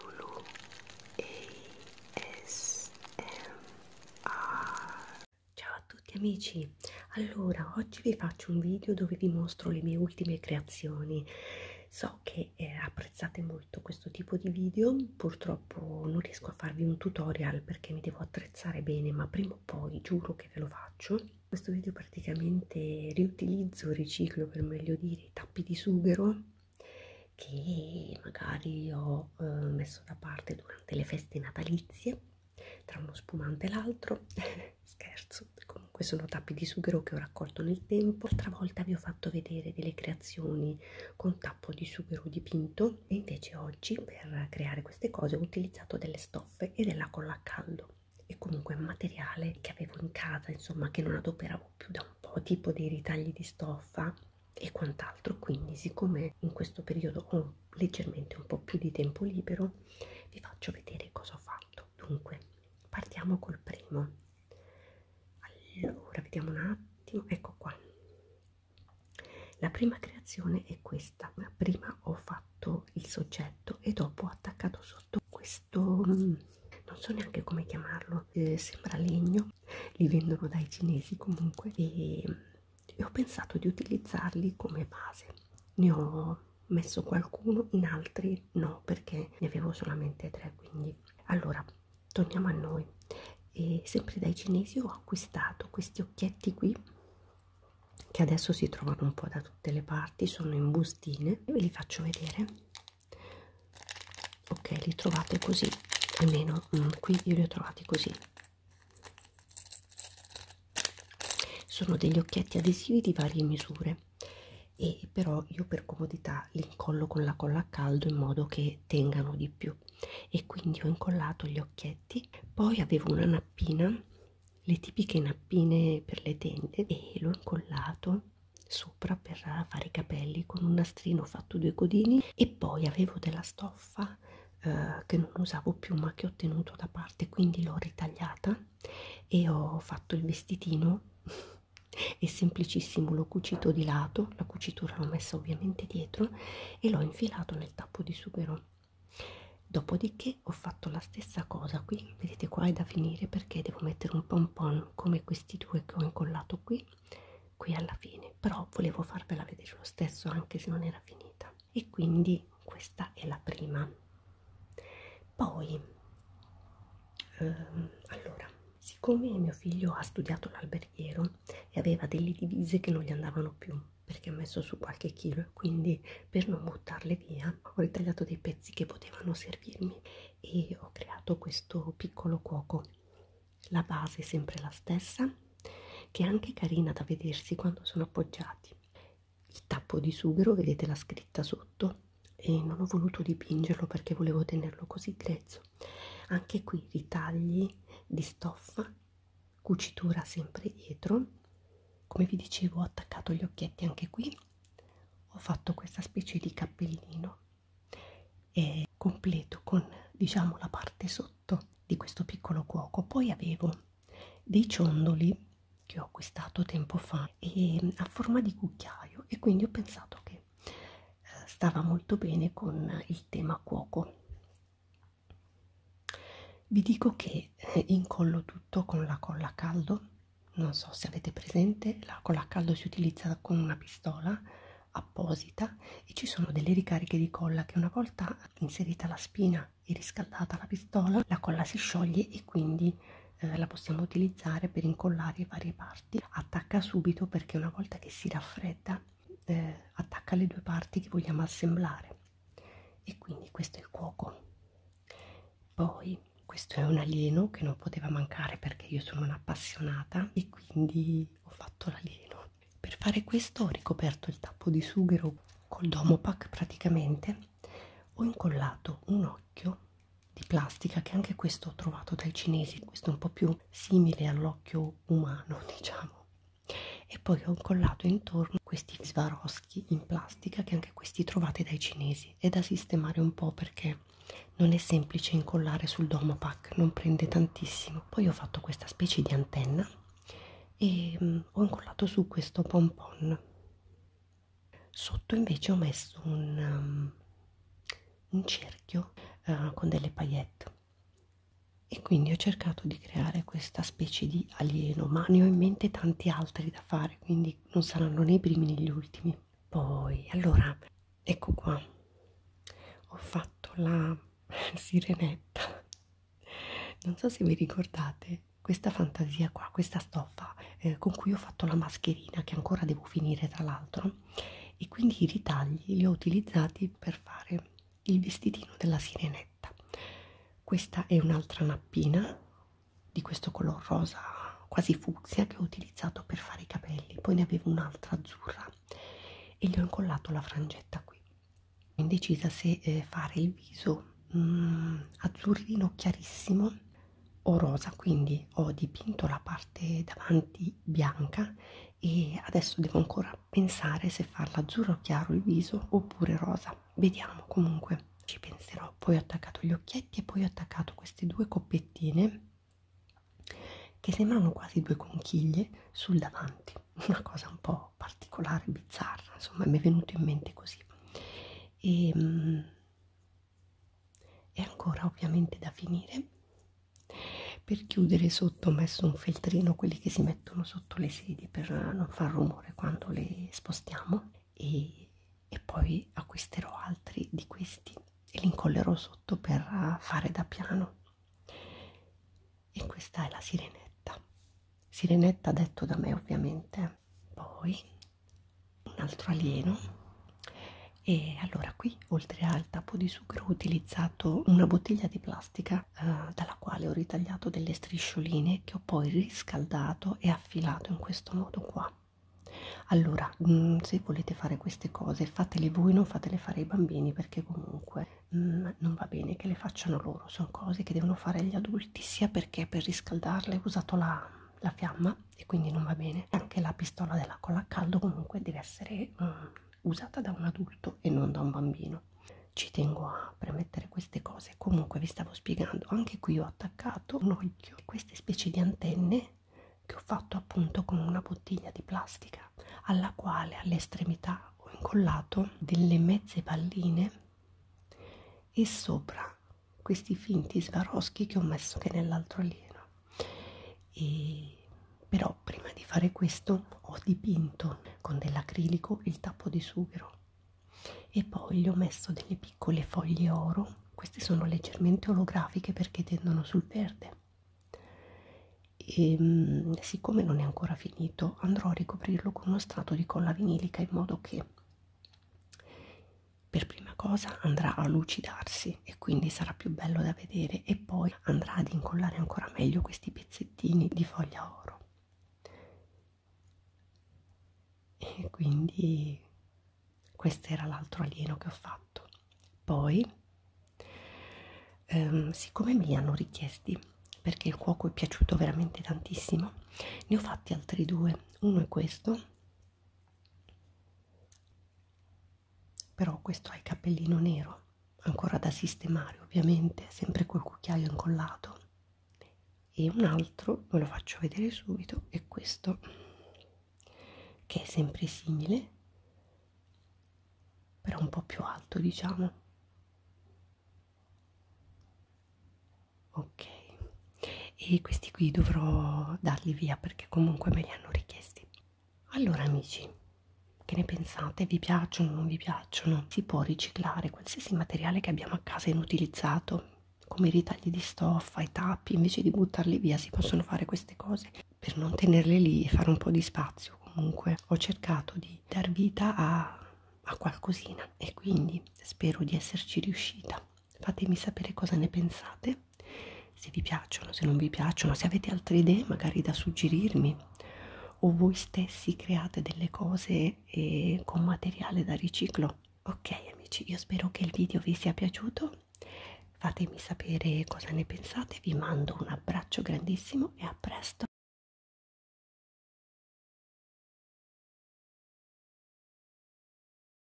Lulu ASMR Ciao a tutti amici, allora oggi vi faccio un video dove vi mostro le mie ultime creazioni so che eh, apprezzate molto questo tipo di video purtroppo non riesco a farvi un tutorial perché mi devo attrezzare bene ma prima o poi giuro che ve lo faccio questo video praticamente riutilizzo, riciclo per meglio dire dei tappi di sughero che magari ho eh, messo da parte durante le feste natalizie tra uno spumante e l'altro scherzo comunque sono tappi di sughero che ho raccolto nel tempo l'altra volta vi ho fatto vedere delle creazioni con tappo di sughero dipinto e invece oggi per creare queste cose ho utilizzato delle stoffe e della colla a caldo e comunque materiale che avevo in casa, insomma, che non adoperavo più da un po', tipo dei ritagli di stoffa e quant'altro. Quindi, siccome in questo periodo ho leggermente un po' più di tempo libero, vi faccio vedere cosa ho fatto. Dunque, partiamo col primo. Allora, vediamo un attimo, ecco qua. La prima creazione è questa, prima ho fatto il soggetto e dopo ho attaccato sotto questo mm, non so neanche come chiamarlo, eh, sembra legno, li vendono dai cinesi comunque e, e ho pensato di utilizzarli come base. Ne ho messo qualcuno, in altri no perché ne avevo solamente tre, quindi allora torniamo a noi. E sempre dai cinesi ho acquistato questi occhietti qui che adesso si trovano un po' da tutte le parti sono in bustine ve li faccio vedere ok li trovate così almeno mm, qui io li ho trovati così sono degli occhietti adesivi di varie misure e però io per comodità li incollo con la colla a caldo in modo che tengano di più e quindi ho incollato gli occhietti poi avevo una nappina le tipiche nappine per le tende e l'ho incollato sopra per fare i capelli con un nastrino ho fatto due codini e poi avevo della stoffa eh, che non usavo più ma che ho tenuto da parte quindi l'ho ritagliata e ho fatto il vestitino è semplicissimo l'ho cucito di lato la cucitura l'ho messa ovviamente dietro e l'ho infilato nel tappo di sughero dopodiché ho fatto la stessa cosa qui vedete qua è da finire perché devo mettere un pompon come questi due che ho incollato qui qui alla fine però volevo farvela vedere lo stesso anche se non era finita e quindi questa è la prima poi ehm, allora siccome mio figlio ha studiato l'alberghiero e aveva delle divise che non gli andavano più perché ho messo su qualche chilo e quindi per non buttarle via ho ritagliato dei pezzi che potevano servirmi e ho creato questo piccolo cuoco la base è sempre la stessa che è anche carina da vedersi quando sono appoggiati il tappo di sughero vedete la scritta sotto e non ho voluto dipingerlo perché volevo tenerlo così grezzo anche qui ritagli di stoffa cucitura sempre dietro come vi dicevo ho attaccato gli occhietti anche qui ho fatto questa specie di cappellino e completo con diciamo la parte sotto di questo piccolo cuoco poi avevo dei ciondoli che ho acquistato tempo fa e a forma di cucchiaio e quindi ho pensato che eh, stava molto bene con il tema cuoco vi dico che eh, incollo tutto con la colla a caldo non so se avete presente la colla a caldo si utilizza con una pistola apposita e ci sono delle ricariche di colla che una volta inserita la spina e riscaldata la pistola la colla si scioglie e quindi eh, la possiamo utilizzare per incollare varie parti attacca subito perché una volta che si raffredda eh, attacca le due parti che vogliamo assemblare e quindi questo è il cuoco poi questo è un alieno che non poteva mancare perché io sono un'appassionata e quindi ho fatto l'alieno per fare questo ho ricoperto il tappo di sughero col domopac praticamente ho incollato un occhio di plastica che anche questo ho trovato dai cinesi questo è un po' più simile all'occhio umano diciamo e poi ho incollato intorno questi svaroschi in plastica che anche questi trovate dai cinesi è da sistemare un po' perché non è semplice incollare sul domopack non prende tantissimo poi ho fatto questa specie di antenna e mh, mm, ho incollato su questo pompon sotto invece ho messo un, um, un cerchio uh, con delle paillette e quindi ho cercato di creare questa specie di alieno ma ne ho in mente tanti altri da fare quindi non saranno né i primi né gli ultimi poi allora ecco qua ho fatto la sirenetta non so se vi ricordate questa fantasia qua questa stoffa eh, con cui ho fatto la mascherina che ancora devo finire tra l'altro e quindi i ritagli li ho utilizzati per fare il vestitino della sirenetta questa è un'altra nappina di questo color rosa quasi fucsia che ho utilizzato per fare i capelli poi ne avevo un'altra azzurra e gli ho incollato la frangetta qui ho indecisa se eh, fare il viso mm, azzurrino chiarissimo o rosa quindi ho dipinto la parte davanti bianca e adesso devo ancora pensare se farla azzurro chiaro il viso oppure rosa. Vediamo comunque, ci penserò. Poi ho attaccato gli occhietti e poi ho attaccato queste due coppettine che sembrano quasi due conchiglie sul davanti. Una cosa un po' particolare, bizzarra, insomma, mi è venuto in mente così. E, ehm, mh, è ancora ovviamente da finire per chiudere sotto ho messo un feltrino, quelli che si mettono sotto le sedie per non far rumore quando le spostiamo e, e poi acquisterò altri di questi e li incollerò sotto per fare da piano. E questa è la sirenetta. Sirenetta detto da me ovviamente. Poi un altro alieno. E allora qui oltre al tappo di zucchero ho utilizzato una bottiglia di plastica eh, dalla quale ho ritagliato delle striscioline che ho poi riscaldato e affilato in questo modo qua allora mh, mm, se volete fare queste cose fatele voi non fatele fare ai bambini perché comunque mh, mm, non va bene che le facciano loro sono cose che devono fare gli adulti sia perché per riscaldarle ho usato la, la fiamma e quindi non va bene anche la pistola della colla a caldo comunque deve essere mh, mm, usata da un adulto e non da un bambino. Ci tengo a premettere queste cose. Comunque vi stavo spiegando, anche qui ho attaccato un occhio e queste specie di antenne che ho fatto appunto con una bottiglia di plastica alla quale all'estremità ho incollato delle mezze palline e sopra questi finti svaroschi che ho messo anche nell'altro alieno e però prima di fare questo ho dipinto con dell'acrilico il tappo di sughero e poi gli ho messo delle piccole foglie oro queste sono leggermente olografiche perché tendono sul verde e ehm, siccome non è ancora finito andrò a ricoprirlo con uno strato di colla vinilica in modo che per prima cosa andrà a lucidarsi pezzi e quindi sarà più bello da vedere e poi andrà ad incollare ancora meglio questi pezzettini di foglia oro e quindi questo era l'altro alieno che ho fatto poi ehm, siccome me li hanno richiesti perché il cuoco è piaciuto veramente tantissimo ne ho fatti altri due uno è questo però questo ha il cappellino nero, ancora da sistemare ovviamente, sempre col cucchiaio incollato. E un altro, ve lo faccio vedere subito, è questo, che è sempre simile, però un po' più alto diciamo. Ok, e questi qui dovrò darli via perché comunque me li hanno richiesti allora amici che ne pensate vi piacciono o non vi piacciono si può riciclare qualsiasi materiale che abbiamo a casa inutilizzato come i ritagli di stoffa i tappi invece di buttarli via si possono fare queste cose per non tenerle lì e fare un po' di spazio comunque ho cercato di dar vita a, a qualcosina e quindi spero di esserci riuscita fatemi sapere cosa ne pensate se vi piacciono se non vi piacciono se avete altre idee magari da suggerirmi o voi stessi create delle cose eh, con materiale da riciclo ok amici io spero che il video vi sia piaciuto fatemi sapere cosa ne pensate vi mando un abbraccio grandissimo e a presto